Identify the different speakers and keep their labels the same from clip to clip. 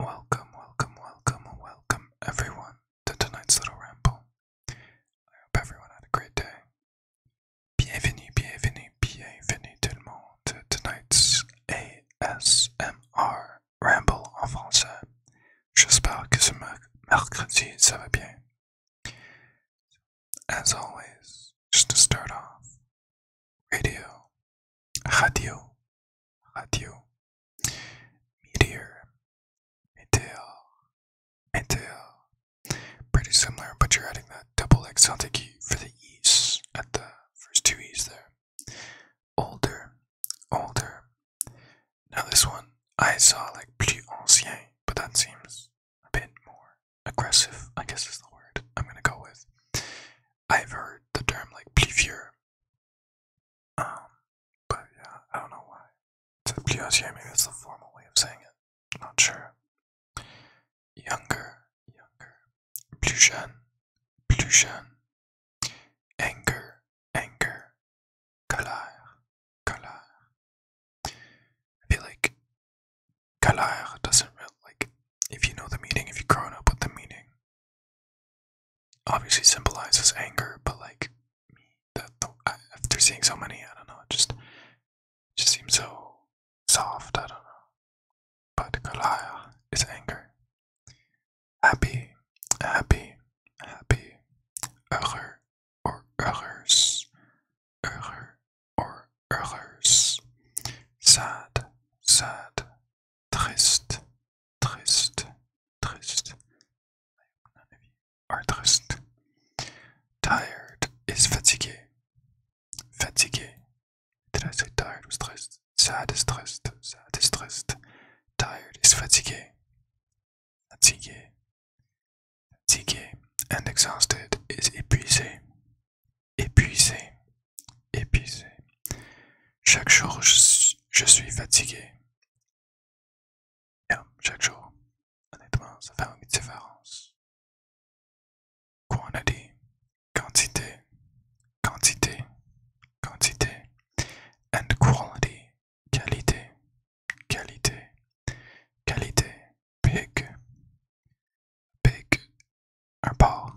Speaker 1: Welcome, welcome, welcome, welcome everyone to tonight's little ramble. I hope everyone had a great day. Bienvenue, bienvenue, bienvenue tout le monde to tonight's ASMR ramble en français. J'espère que ce mercredi ça bien. As always, just to start off, radio, radio, radio, meteor, meteor, meteor. Pretty similar, but you're adding that double exotic E for the E's at the first two E's there. Older, older. Now this one, I saw like plus ancien, but that seems a bit more aggressive, I guess is the word I'm gonna go with. I've heard the term like plivieux. Um, but yeah, I don't know why. It's a plivieux, maybe that's the formal way of saying it. Not sure. Younger, younger. Plus jeune, plus jeune. Anger, anger. Colère, colère. I feel like Galar doesn't really like if you know the meaning, if you've grown up with the meaning. Obviously symbolizes anger, but like me, after seeing so many, I don't know, just just seems so soft. I don't know. But Kalaya is anger. Happy, happy, happy. Error or errors heureux or heureuse. Sad, sad. Triste, triste, triste. none of you are triste. Tired is fatigué. Fatigué. Did tired was triste? Sad is triste. Sad is Tired is fatigued, fatigued. Fatigué and exhausted is épuisé. Épuisé. Épuisé. Each day I am tired. Each day, chaque jour. Honnêtement, ça fait une différence. Quantity. Quantité. Quantité. Quantité. And quality. Qualité. qualité, qualité, pig, pig, un porc,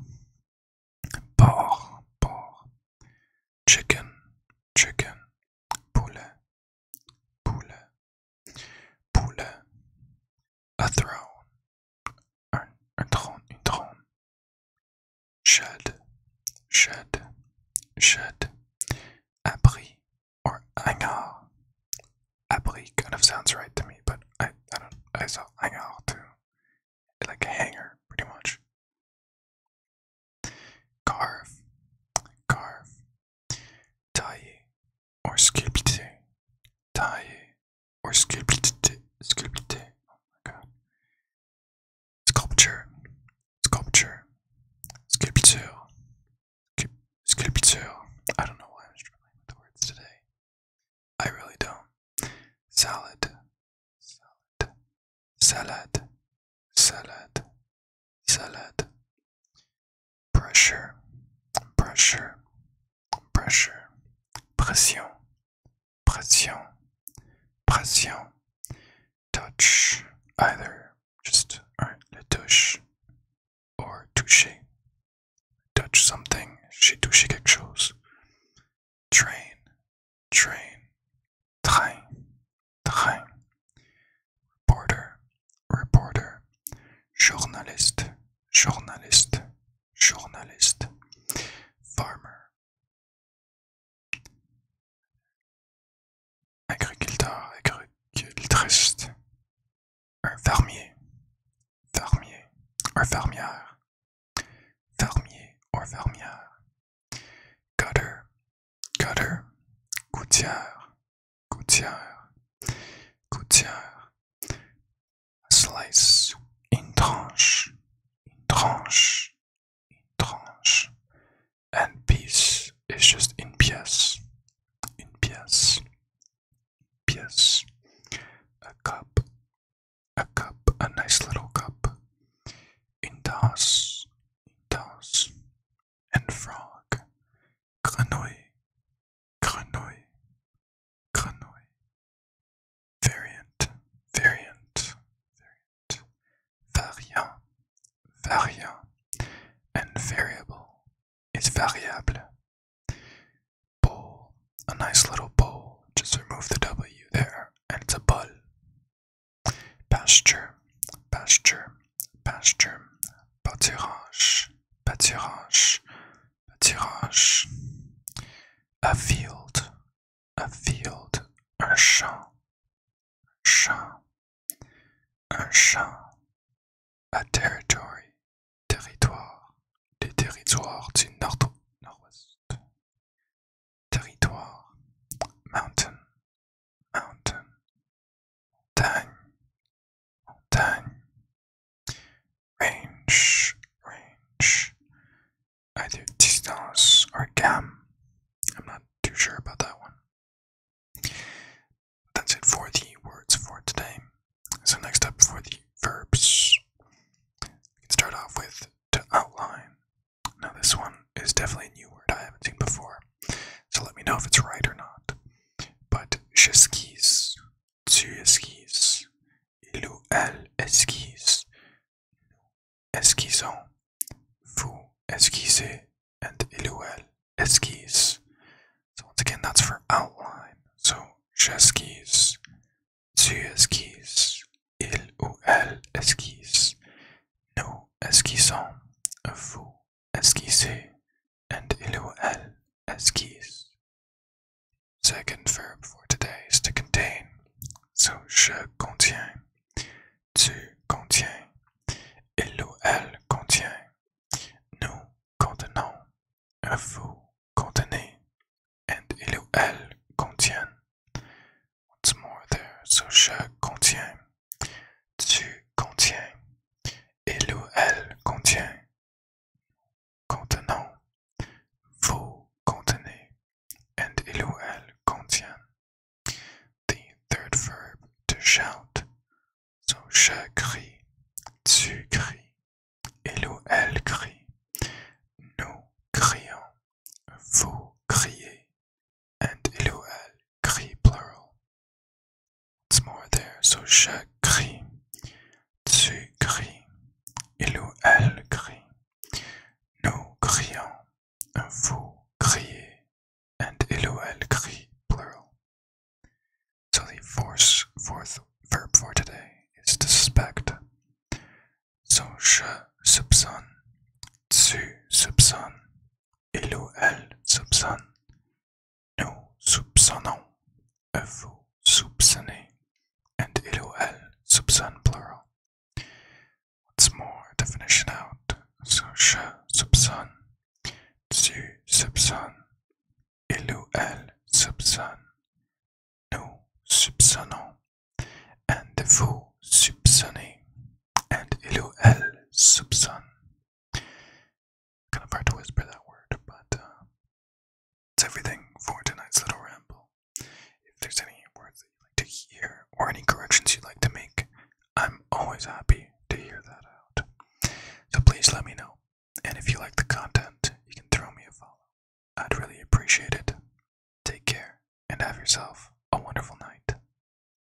Speaker 1: porc, porc, chicken, chicken, poulet, poulet, poule, a throne, un, un trône, une trône, shed, shed, shed, abri, or anger. Apply kind of sounds right to me, but I I don't I saw anger too. Like a hanger, pretty much. Carve, carve, taille, or sculpte, taille, or sculpte, sculpte. Oh Sculpture, sculpture, sculpture, sculpture. I don't know why I'm struggling with the words today. I really don't. Salad, salad, salad, salad, salad. Pressure, pressure, pressure. Pression, pression, pression touch either. Just all right, le or toucher. Touch something, She touché quelque chose. Train, train, train, train. Reporter, reporter. Journalist, journalist, journalist. Farmer, Agriculteur, agricultriste Un fermier, fermier, un fermière. Fermier ou fermière. cutter, cutter, Gouttière, gouttière, gouttière. Slice, une tranche, une tranche. tranche and piece is just in pièce in pièce pièce a cup a cup a nice little cup in tasse in and frog grenouille grenouille grenouille variant, variant, variant, variant, variant, and variable is variable. Bowl, a nice little bowl, just remove the W there, and it's a bowl. Pasture, pasture, pasture, pâturage, pâturage, pâturage. A field, a field, un champ, un champ, un champ, a territory, territoire, les territoires du nord-nord-ouest, territoire, mountain, mountain, montagne, montagne, range, range, either distance or gam. I'm not too sure about that one. That's it for the words for today. So next up for the verbs, we can start off with to outline. Now this one is definitely a new word I haven't seen before, so let me know if it's right or not. But skis, skis Илүү аль esquisse. Esquissons. Vous esquissez and илүү al esquisse. So once again, that's for outline. So j'esquisse, tu esquisses, il ou elle esquisse, nous esquissons, vous esquissez, and ilu el as keys. Second verb for today is to contain. So je contiens, tu contiens, il ou elle contient, nous contenons, vous contenez, and il ou elle contient. Once more there, so je contiens, tu contiens, il ou elle contient, Contenant. Vous contenez. And il ou elle contient. The third verb to shout. So je crie. Tu cries. Il ou elle crie. Nous crions. Vous criez. And il ou elle crie plural. It's more there? So je crie, tu cries, il ou elle crie, nous crions, vous criez, and il ou elle crie, So the fourth, fourth verb for today is to suspect. So je subson. tu subson. il ou elle soupçonne, Nous soupçonnons, euh, vous soupçonnez, and il soupçonne plural. Once more, definition out. So je soupçonne, tu soupçonnes, il ou elle soupçonne, nous soupçonnons, and vous soupçonnez, and il ou elle soupçonne. Kind of hard to whisper that word, but uh, it's everything for tonight's little ramble. If there's any words you'd like to hear or any corrections you'd like to make, I'm always happy to hear that out. So please let me know. And if you like the content, you can throw me a follow. I'd really appreciate it. Take care and have yourself a wonderful night.